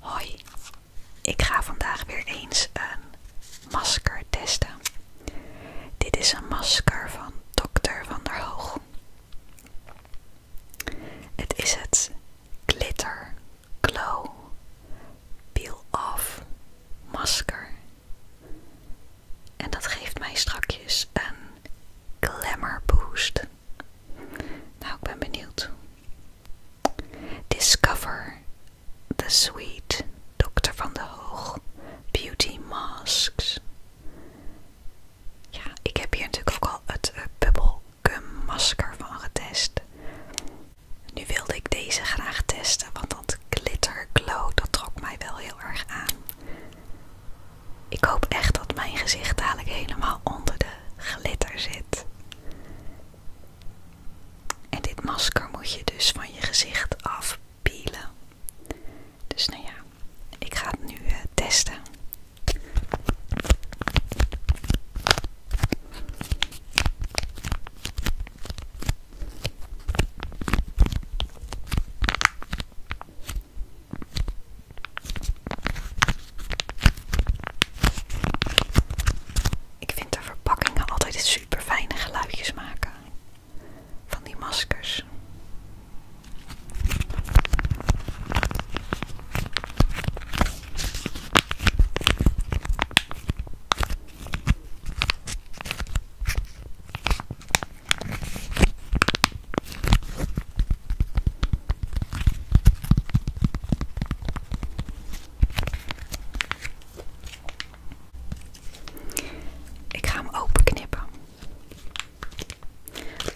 Hoi, ik ga vandaag weer eens een masker testen. Dit is een masker van Dr. Van der Hoog. Het is het Glitter Glow Peel Off masker. En dat geeft mij strakjes een glamour boost. Nou, ik ben benieuwd. Discover the Sweet Dr. van de Hoog Beauty Masks. Ja, ik heb hier natuurlijk ook al het Bubble eh, bubblegum masker van getest. Nu wilde ik deze graag testen, want dat glitter glow, dat trok mij wel heel erg aan. Ik hoop echt dat mijn gezicht dadelijk helemaal onder de glitter zit. En dit masker moet je dus van je gezicht afpielen. Dus nou ja, ik ga het nu eh, testen. Ik vind de verpakkingen altijd super fijne geluidjes maken van die maskers. Ik ga hem open knippen.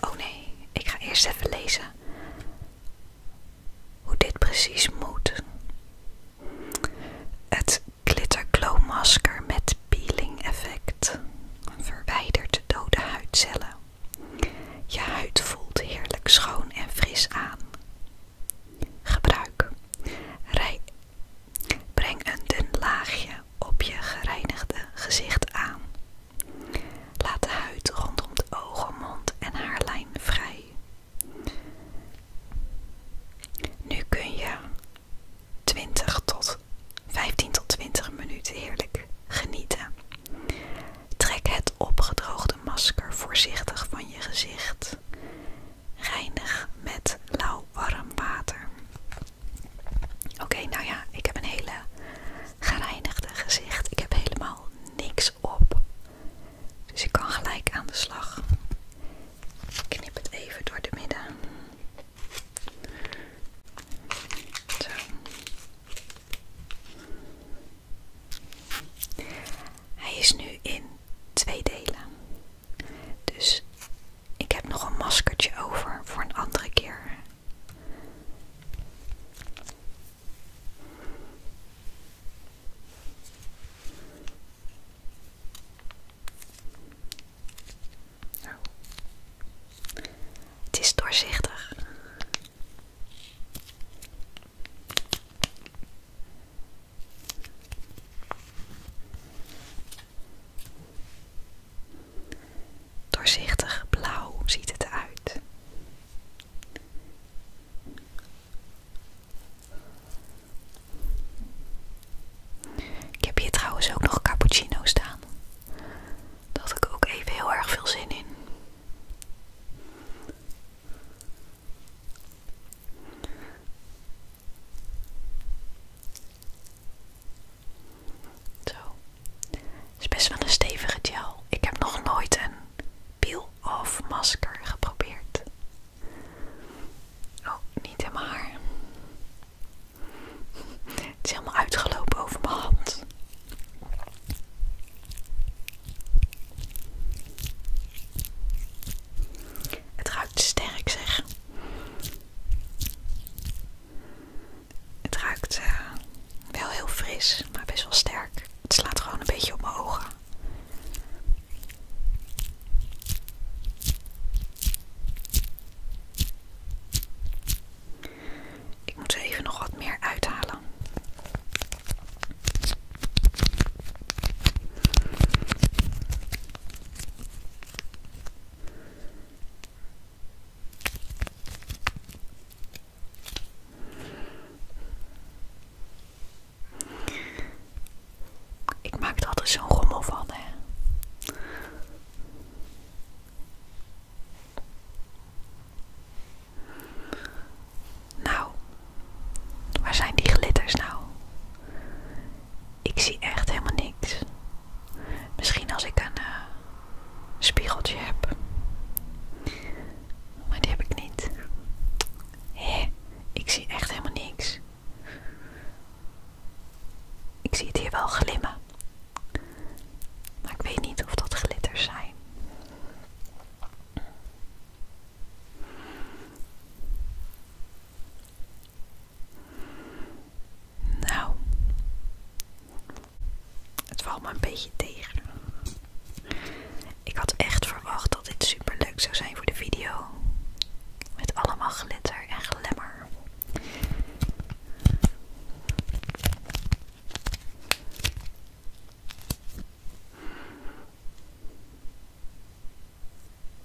Oh nee, ik ga eerst even lezen hoe dit precies moet. Het Glitter Glow Masker met peeling effect verwijdert dode huidcellen. Je huid voelt heerlijk schoon en fris aan. Gebruik. Breng een dun laagje op je gereinigde gezicht aan. Laat de huid rondom de ogen, mond en haarlijn vrij. Nu kun je 20 tot 15 tot 20 minuten heerlijk genieten. Trek het opgedroogde masker voorzichtig van je gezicht. Reinig met lauw warm water. Oké, nou ja, ik heb een hele gereinigde gezicht. Ik heb helemaal niks op. Dus ik kan gelijk aan de slag. Ik knip het even door de midden. Zo. Hij is nu in twee delen. Dus ik heb nog een maskertje over voor een andere keer. Het is doorzichtig. Doorzichtig blauw ziet het eruit. Ik heb hier trouwens ook nog cappuccino staan dat had ik ook even heel erg veel zin in. Zo. Het is best wel een stevige gel. Ik heb nog nooit een peel-off masker geprobeerd. Oh, niet in mijn haar. Het is helemaal uitgelopen over mijn hand. Het ruikt sterk, zeg. Het ruikt eh, wel heel fris, maar best wel sterk. Het slaat gewoon een beetje op mijn ogen. Ik moet even nog wat meer uithalen. Ik maak er altijd zo'n rommel van, hè. Nou, waar zijn die glitters nou? Ik zie echt helemaal niks. Misschien als ik een eh, spiegeltje heb. Maar die heb ik niet. ik zie echt helemaal niks. Ik zie het hier wel glimmen, maar ik weet niet of dat glitters zijn. Nou, het valt me een beetje tegen. Ik had echt verwacht dat dit super leuk zou zijn voor de video. Met allemaal glitter en glimmer.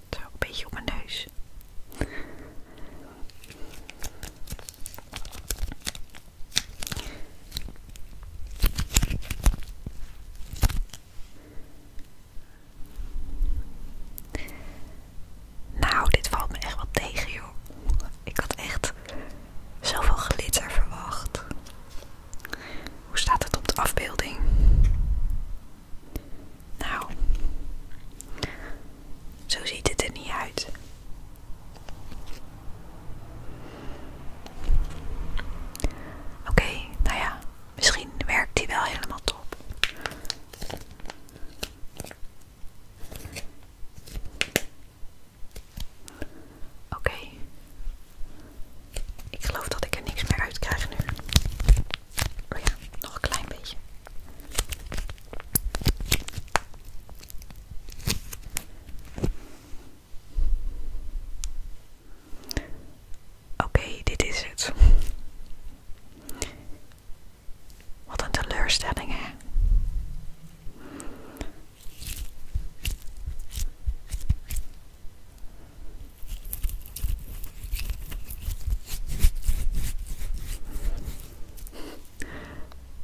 Zo, een beetje op neus. Nou, dit valt me echt wel tegen, joh. Ik had echt zoveel glitter verwacht. Hoe staat het op de afbeelding? Nou, zo ziet het er niet uit. Oké, nou ja, misschien werkt die wel helemaal top. Oké. Ik geloof dat ik er niks meer uit krijg nu. Oh ja, nog een klein beetje. Oké, dit is het. Wat een teleurstelling, hè?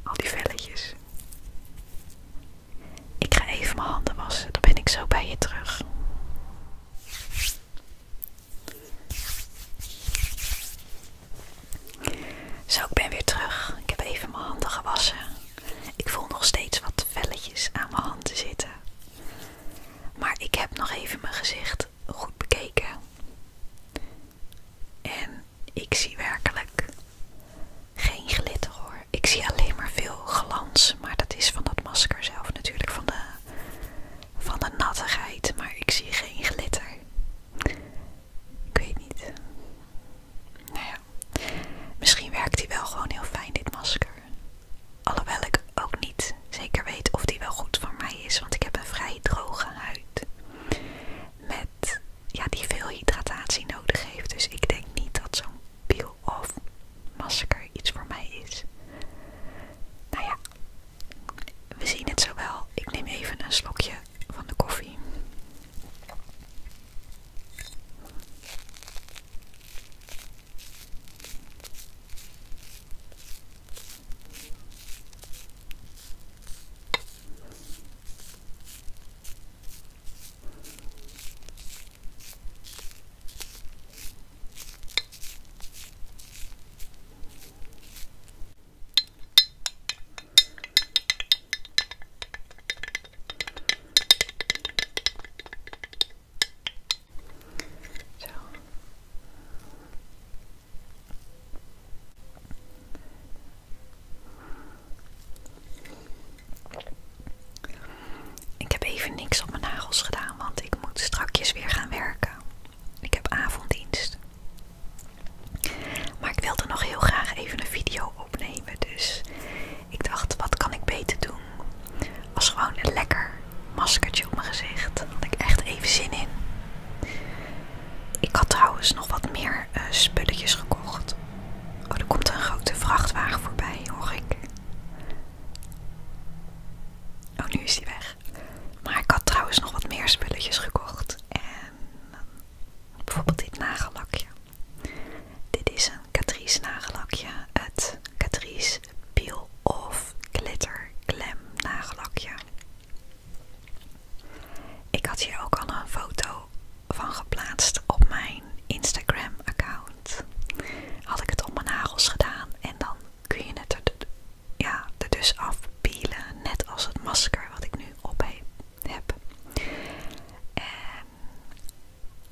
Al die velletjes. Ik ga even mijn handen wassen, dan ben ik zo bij je terug. Zo, ik ben weer terug. Ik heb even mijn handen gewassen. Ik voel nog steeds wat velletjes aan mijn handen zitten. Maar ik heb nog even mijn gezicht goed bekeken. En ik zie werkelijk geen glitter hoor. Ik zie alleen maar veel glans. Maar dat is van dat masker zelf natuurlijk, van de, van de nattigheid. Maar ik zie geen glitter. Ik weet niet. Nou ja, misschien werkt die wel gewoon heel fijn, dit masker. Alhoewel ik ook niet zeker weet of die wel goed voor mij is, want ik heb een vrij droge huid. Met, ja, die veel hydratatie nodig heeft. Dus ik denk niet dat zo'n peel-off masker iets voor mij is. Nou ja, we zien het zo wel. Ik neem even een slokje van de koffie. Zo. Ik heb even niks op mijn nagels gedaan, want ik moet strakjes weer gaan werken. Ik heb avonddienst. Maar ik wilde nog heel graag even een video opnemen. Dus ik dacht, wat kan ik beter doen? Als gewoon een lekker maskertje op mijn gezicht. Daar had ik echt even zin in. Ik had trouwens nog wat meer eh, spulletjes gekocht. Oh, er komt een grote vrachtwagen voorbij, hoor ik. Oh, nu is die weg. Maar ik had trouwens nog wat meer spulletjes gekocht. En ehm, bijvoorbeeld dit nagellakje. Dit is een Catrice nagellakje. Het Catrice Peel Off Glitter Glam nagellakje. Ik had hier ook al een foto van geplaatst op mijn Instagram account. Had ik het op mijn nagels gedaan en dan kun je het er, ja, er dus afpielen. Net als het masker wat ik nu op heb. En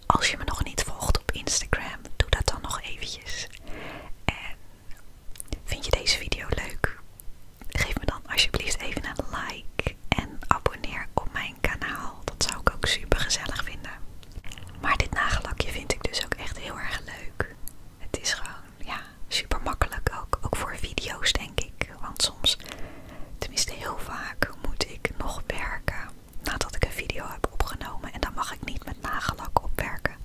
als je me nog niet volgt op Instagram, doe dat dan nog eventjes. En vind je deze video leuk? Geef me dan alsjeblieft even een like en abonneer op mijn kanaal. Dat zou ik ook super gezellig vinden. Maar dit nagellakje vind ik dus ook echt heel erg leuk. Het is gewoon ja, super makkelijk ook, ook voor video's denk ik. Want soms, tenminste heel vaak, moet ik nog werken nadat ik een video heb opgenomen. En dan mag ik niet met nagellak opwerken.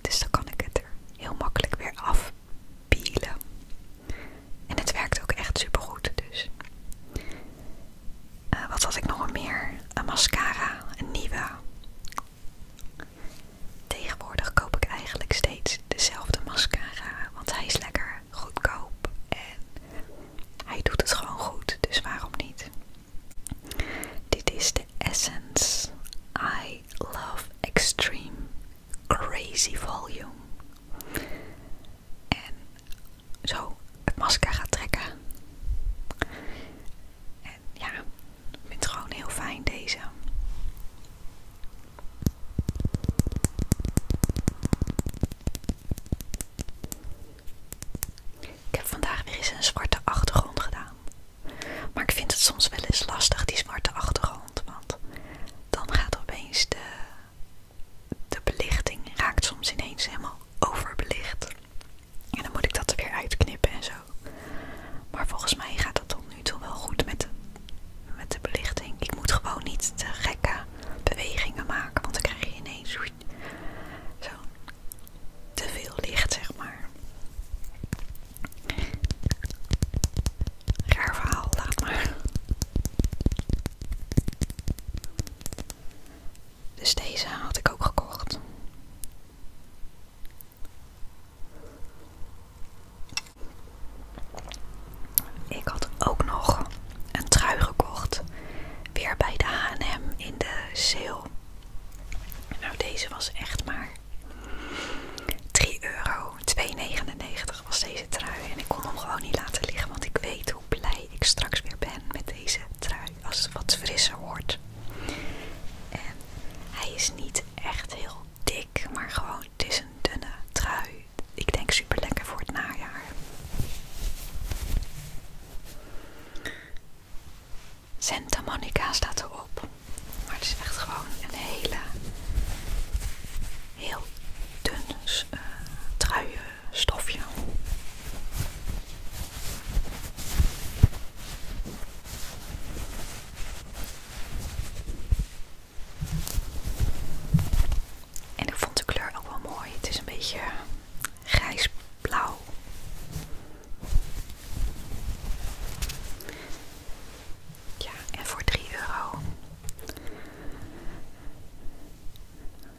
Dus dan kan ik het er heel makkelijk weer afpielen. En het werkt ook echt super goed dus. Eh, wat had ik nog meer? Een mascara, een nieuwe. Tegenwoordig koop ik eigenlijk steeds dezelfde mascara, want hij is lekker goedkoop en hij doet het gewoon goed, dus waarom niet? Dit is de Essence I Love Extreme Crazy Volume. En zo het masker gaat trekken. En ja, ik vind het gewoon heel fijn deze. Ik heb vandaag weer eens een zwarte achtergrond gedaan. Maar ik vind het soms wel eens lastig, die zwarte achtergrond. Want dan gaat opeens de, de belichting raakt soms ineens helemaal overbelicht. En dan moet ik dat er weer uitknippen en zo. Maar volgens mij gaat dat tot nu toe wel goed met de, met de belichting. Ik moet gewoon niet te gekke bewegingen maken, want dan krijg je ineens zo te veel licht, zeg maar. Raar verhaal, laat maar. Dus deze had ik ook gekocht. Ik had ook nog een trui gekocht. Weer bij de HM in de sale. Nou, deze was echt maar 3 euro. 2,99 was deze trui. En ik kon hem gewoon niet laten liggen, want ik weet hoe blij ik straks weer ben met deze trui als het wat frisser wordt. En hij is niet echt heel dik, maar gewoon, het is een dunne trui. Ik denk super lekker voor het najaar. Santa Monica staat erop. Maar het is echt gewoon een hele, heel dun eh, trui stofje. En ik vond de kleur ook wel mooi. Het is een beetje grijsblauw. Ja, en voor 3 euro. Dat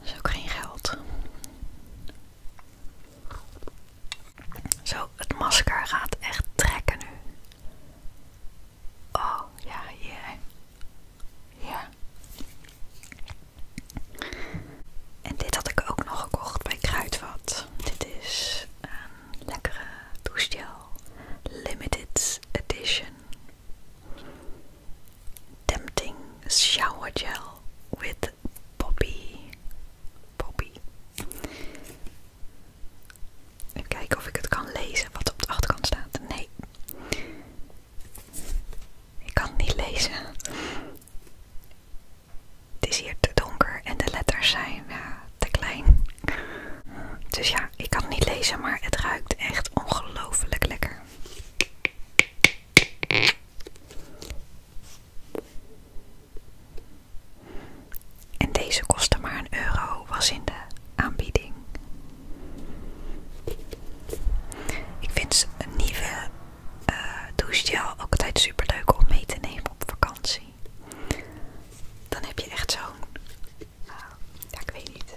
is ook geen geld. Zo, het masker gaat echt trekken nu. Oh, ja, hier. En dit had ik ook nog gekocht bij Kruidvat. Dit is een lekkere douchegel. Limited edition. Tempting shower gel with poppy Poppy. Even kijken of ik het kan lezen wat op de achterkant staat. Nee. Ik kan het niet lezen. Het is hier te donker en de letters zijn te klein. Dus ja, ik kan het niet lezen, maar het ruikt echt ongelooflijk lekker. En deze kostte maar een euro, was in de aanbieding. Ik vind een nieuwe douche eh, douchegel ook altijd super leuk om mee te nemen op vakantie. Dan heb je echt zo'n. Eh, ja, ik weet niet.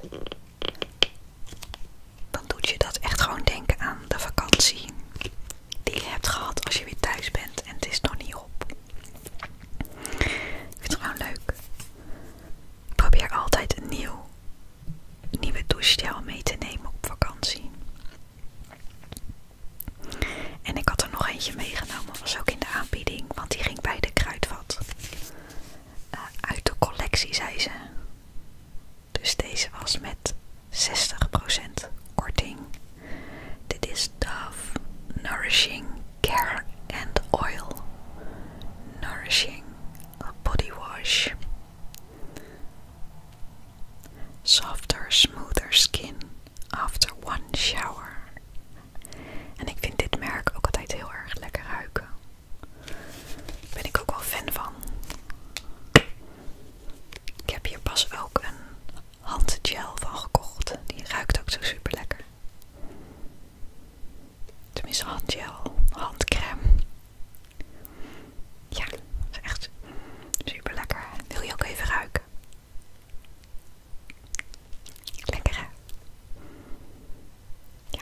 Dan doet je dat echt gewoon denken aan de vakantie die je hebt gehad als je weer thuis bent en het is nog niet op. Ik vind het gewoon leuk. Ik probeer altijd een nieuw, nieuwe douchegel mee te nemen op vakantie. En ik had er nog eentje meegenomen, was ook in de aanbieding, want die ging bij de kruidvat. Eh, uit de collectie, zei ze. Dus deze was met 60% korting. Dit is Dove Nourishing Care and Oil. Nourishing Body Wash. Softer, smoother skin after one shower. En ik vind dit merk ook altijd heel erg lekker ruiken. Daar ben ik ook wel fan van. Ik heb hier pas ook een handgel van gekocht. Die ruikt ook zo super lekker. Tenminste, handgel, handcrème. Ja, is echt super lekker. Wil je ook even ruiken? Lekker hè? Ja.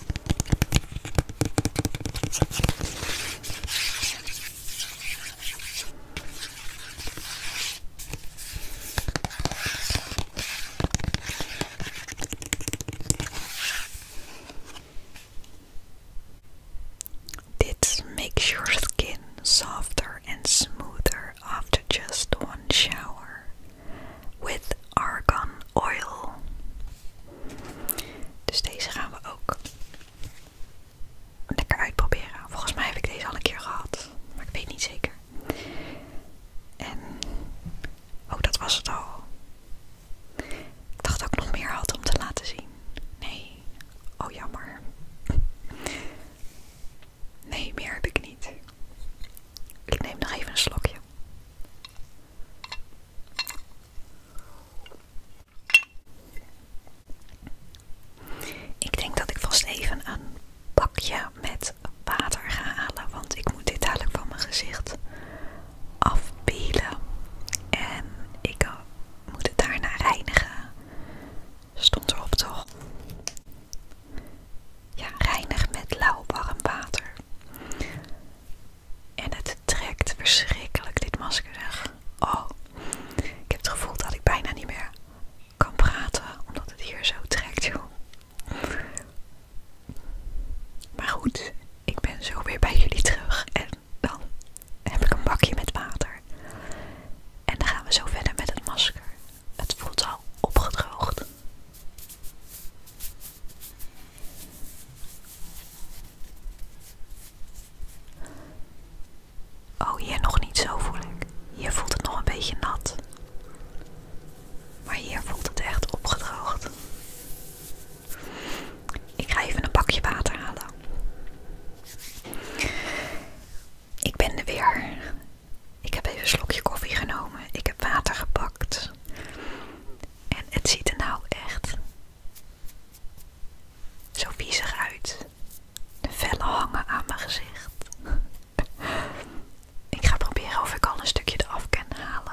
This makes your skin softer and smoother after just one shower with argan oil. Dus deze gaan we ook lekker uitproberen. Volgens mij heb ik deze al een keer gehad, maar ik weet niet zeker. En oh, dat was het al. Ik dacht dat ik nog meer had om te laten zien. Nee, oh jammer. Nee, meer heb ik niet. Ik neem nog even een slokje. Ik denk dat ik vast even een bakje met water ga halen, want ik moet dit dadelijk van mijn gezicht afpelen. En ik eh, moet het daarna reinigen. Stond erop toch? Ja, reinig met lauw warm water. En het trekt verschrikkelijk, dit masker zeg. Oh, ik heb het gevoel dat ik bijna niet meer kan praten, omdat het hier zo trekt, joh. Maar goed, ik ben zo weer bij jullie terug en dan heb ik een bakje met water. En dan gaan we zo verder met het masker. Het voelt al opgedroogd. Oh, hier nog niet zo voel ik. Hier voelt het nog een beetje nat. Maar hier voelt het echt opgedroogd. Ik ga even een bakje water halen. Ik ben er weer. Ik heb even een slokje koffie genomen. Ik heb water gepakt. En het ziet er nou echt zo viezig uit. De vellen hangen aan mijn gezicht. ik ga proberen of ik al een stukje eraf kan halen.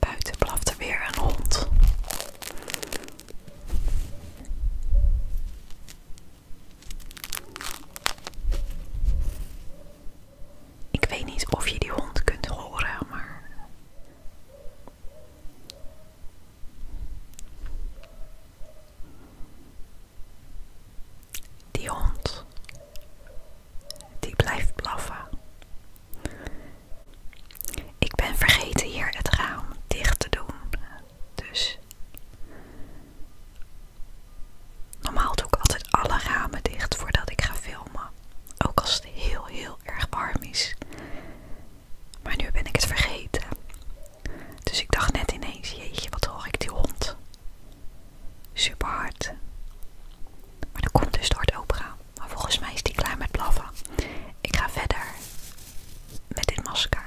Buiten blaft er weer een hond. Ik weet niet of je die hond kunt horen, maar die hond, die blijft blaffen. Ik ben vergeten hier het raam dicht te doen, dus normaal doe ik altijd alle ramen dicht voordat ik ga filmen, ook als het heel heel erg warm is. Maar nu ben ik het vergeten. Dus ik dacht net ineens, jeetje, wat hoor ik die hond. Super hard. Maar dat komt dus door het opera. Maar volgens mij is die klaar met blaffen. Ik ga verder met dit masker.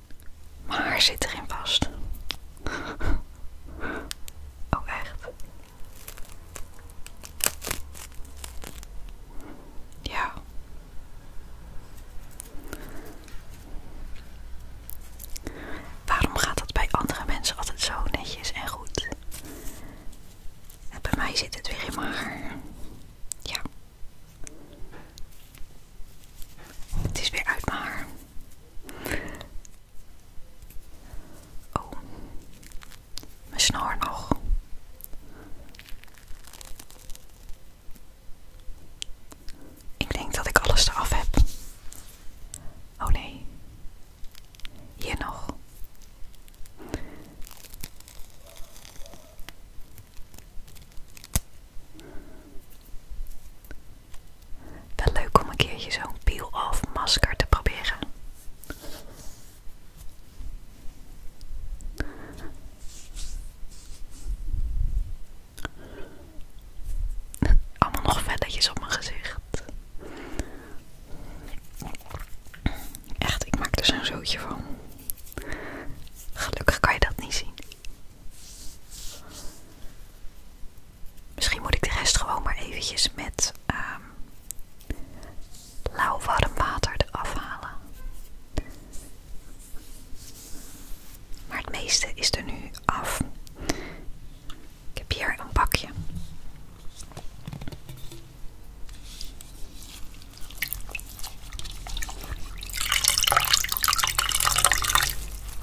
Maar haar zit erin vast. oh, echt. Ja. Waarom gaat dat bij andere mensen altijd zo netjes en goed? En bij mij zit het weer in mijn haar. Ja. Het is weer uit mijn haar. Oh, mijn snor nog. Ik denk dat ik alles af heb. Oh nee, hier nog. Wel leuk om een keertje zo'n peel-off masker te proberen. Allemaal nog velletjes op mijn gezicht. Echt, ik maak er zo'n zootje van. Gelukkig kan je dat niet zien. Misschien moet ik de rest gewoon maar eventjes met ehm, lauw warm water eraf halen. Maar het meeste is er nu af. Ik heb hier een pakje.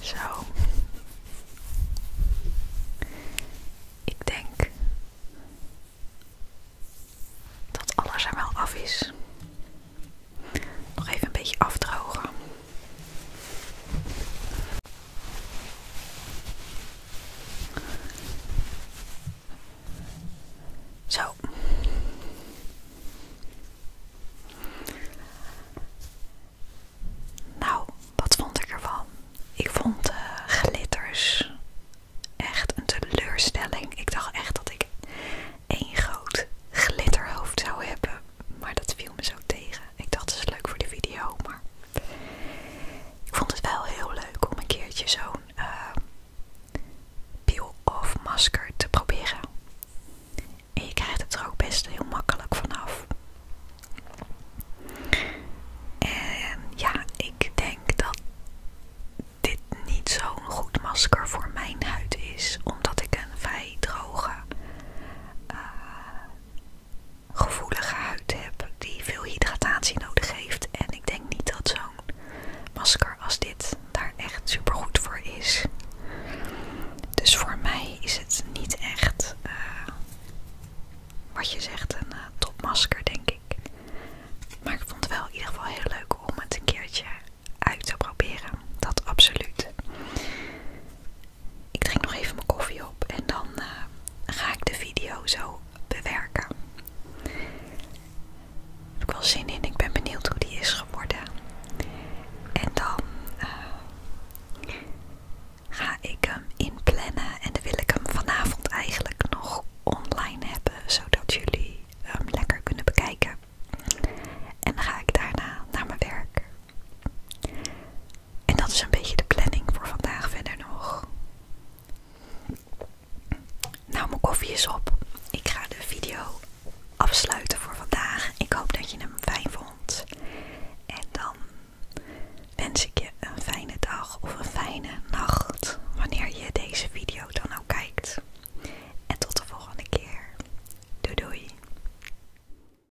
Zo. Ik denk dat alles er wel af is. Nog even een beetje afdrogen. Zo. Nou, wat vond ik ervan? Ik vond eh, glitters echt een teleurstelling. Ik dacht echt dat ik één groot glitterhoofd zou hebben, maar dat viel me zo tegen ik dacht het is leuk voor de video, maar ik vond het wel heel leuk om een keertje zo'n eh, peel-off masker te proberen. En je krijgt het er ook best heel makkelijk vanaf. En ja, ik denk dat dit niet zo'n goed masker voor mijn huid is, omdat ik een vrij droge eh, gevoelige huid heb die veel hydratatie nodig heeft. En ik denk niet dat zo'n masker als dit daar echt super goed voor is. Dus voor mij is het niet echt eh, wat je zegt een eh, topmasker denk ik. Maar ik vond het wel in ieder geval heel leuk om het een keertje uit te proberen. Dat absoluut. Ik drink nog even mijn koffie op en dan eh, ga ik de video zo bewerken. Heb ik wel zin in. Ik ben benieuwd hoe die is geworden. En dan eh, ga ik hem inplannen. En dan wil ik hem vanavond eigenlijk nog online hebben. Zodat jullie hem lekker kunnen bekijken. En dan ga ik daarna naar mijn werk. En dat is een beetje de planning voor vandaag verder nog. Nou, mijn koffie is op. Ik ga de video afsluiten voor vandaag. Ik hoop dat je hem fijn vond. En dan wens ik je een fijne dag of een fijne nacht. Wanneer je deze video dan ook kijkt. En tot de volgende keer. Doei doei.